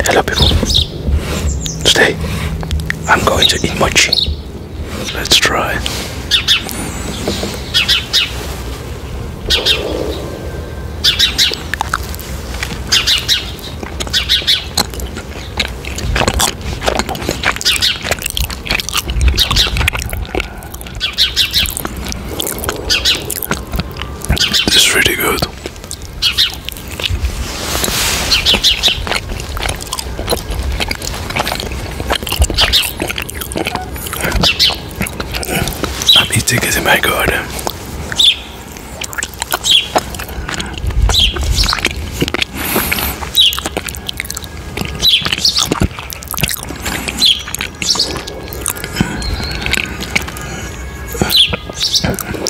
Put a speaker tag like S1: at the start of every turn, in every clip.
S1: Hello people. Today I'm going to eat mochi. Let's try. This is really good. I'm eating it in my garden.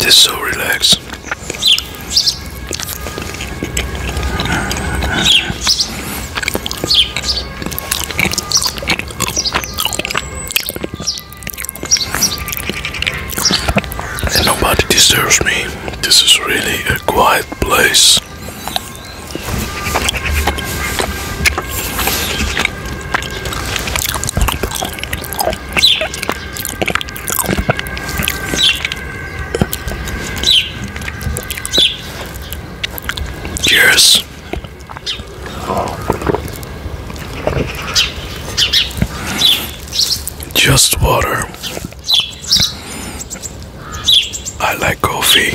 S1: It's so relaxed. nobody deserves me. This is really a quiet place. Cheers. Just water. I like coffee.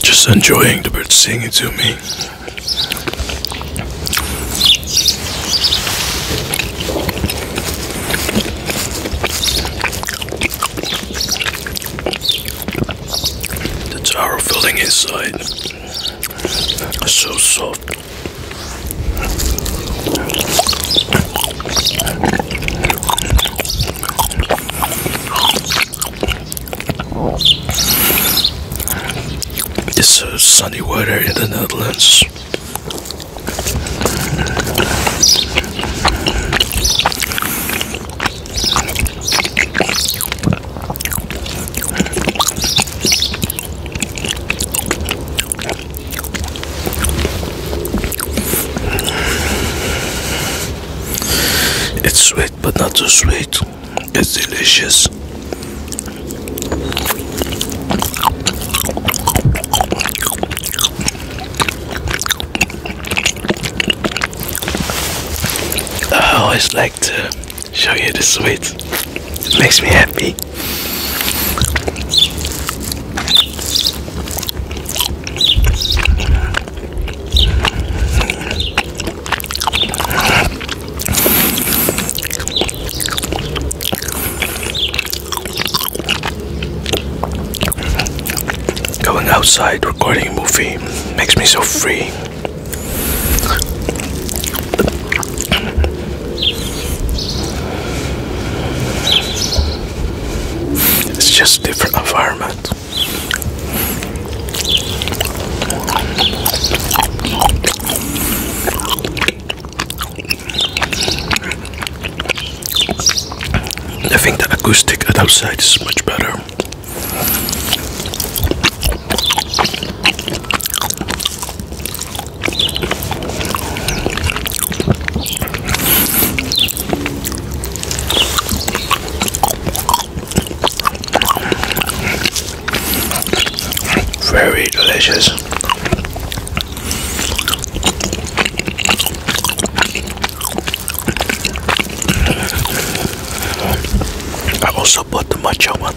S1: Just enjoying the birds singing to me. The tower filling inside. So soft. It's a sunny weather in the Netherlands. It's sweet, but not too sweet. It's delicious. I always like to show you the sweet. It makes me happy. Going outside recording a movie makes me so free. It's just different environment. I think the acoustic at outside is much better. Very delicious. I also bought the matcha one.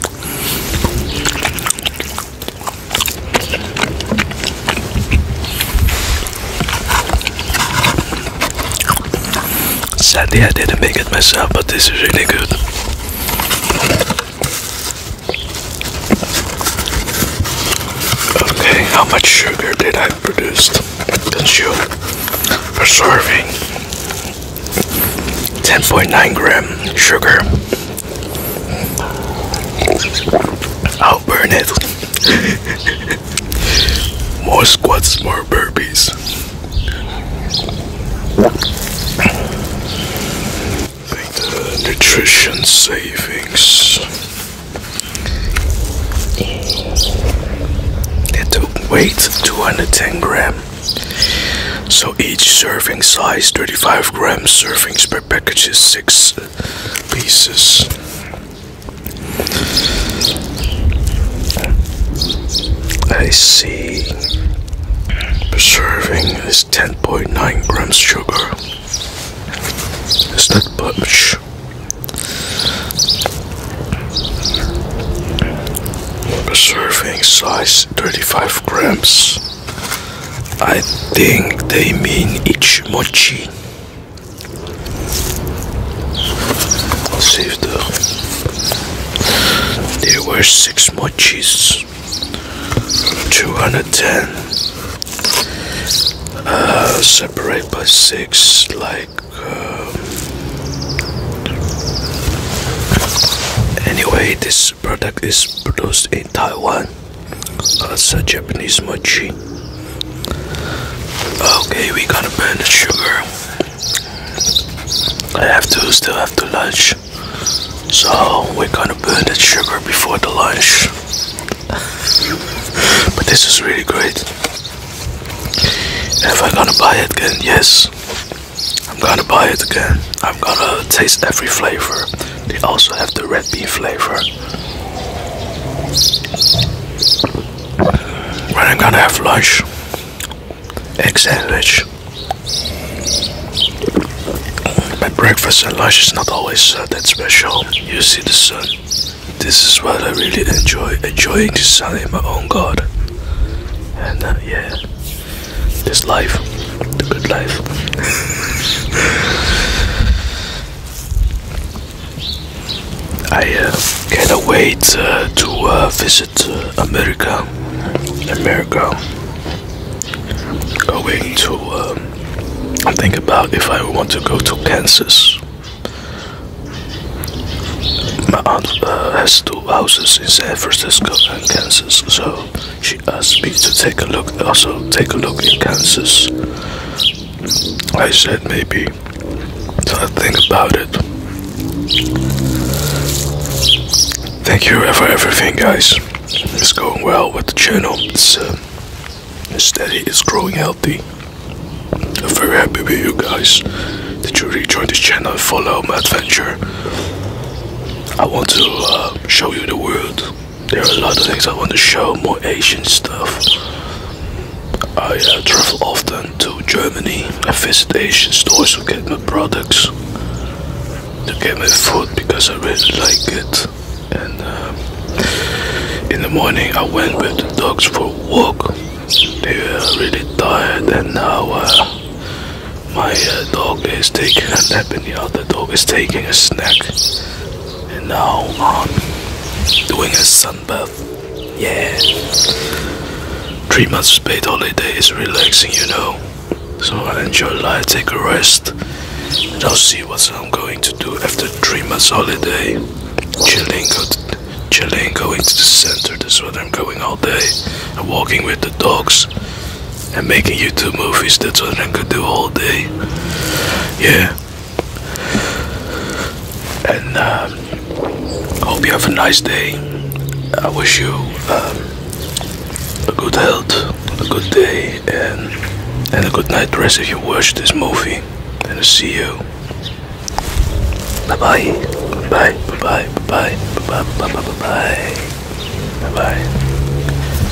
S1: Sadly, I didn't make it myself, but this is really good. Okay, how much sugar did I produce? Consume per serving? 10.9 gram sugar burn it. more squats, more burpees. Like the nutrition savings. The weight 210 gram. So each serving size 35 grams servings per package is 6 pieces. I see the serving is 10.9 grams sugar. It's not much. The serving size 35 grams. I think they mean each mochi. Save the. There were six mochis. 210. Uh, separate by six, like. Um, anyway, this product is produced in Taiwan. That's a Japanese mochi. Okay, we gonna burn the sugar. I have to still have to lunch. So we're gonna burn the sugar before the lunch. but this is really great. If I'm gonna buy it again, yes. I'm gonna buy it again. I'm gonna taste every flavor. They also have the red bean flavor. When I'm gonna have lunch, egg sandwich. My breakfast and lunch is not always uh, that special. You see the sun. This is what I really enjoy, enjoying the sun in my own garden. And uh, yeah, this life, the good life. I uh, cannot wait uh, to uh, visit America. America. Going to um, think about if I want to go to Kansas. My aunt has two houses in San Francisco and Kansas, so she she asked me to take a look, also take a look in Kansas. I said maybe. I think about it. Thank you for everything, guys. It's going well with the channel. It's uh, steady. It's growing healthy. I'm very happy with you guys. Did you rejoin this channel follow my adventure? I want to uh, show you the world. There are a lot of things I want to show, more Asian stuff. I uh, travel often to Germany. I visit Asian stores to get my products, to get my food because I really like it. And uh, in the morning, I went with the dogs for a walk. They were really tired, and now uh, my dog is taking a nap, and the other dog is taking a snack. And now I'm doing a sunbath. Yeah. Three months paid holiday is relaxing, you know. So I enjoy life, take a rest. And I'll see what I'm going to do after three months holiday. Chilling, chilling, going to the center. That's where I'm going all day. I'm walking with the dogs and making YouTube movies. That's what I could do all day. Yeah. And um, hope you have a nice day. I wish you um, a good health, a good day, and and a good night rest if you watch this movie. And I'll see you. Bye bye. Bye bye bye bye bye bye bye bye bye. bye, -bye.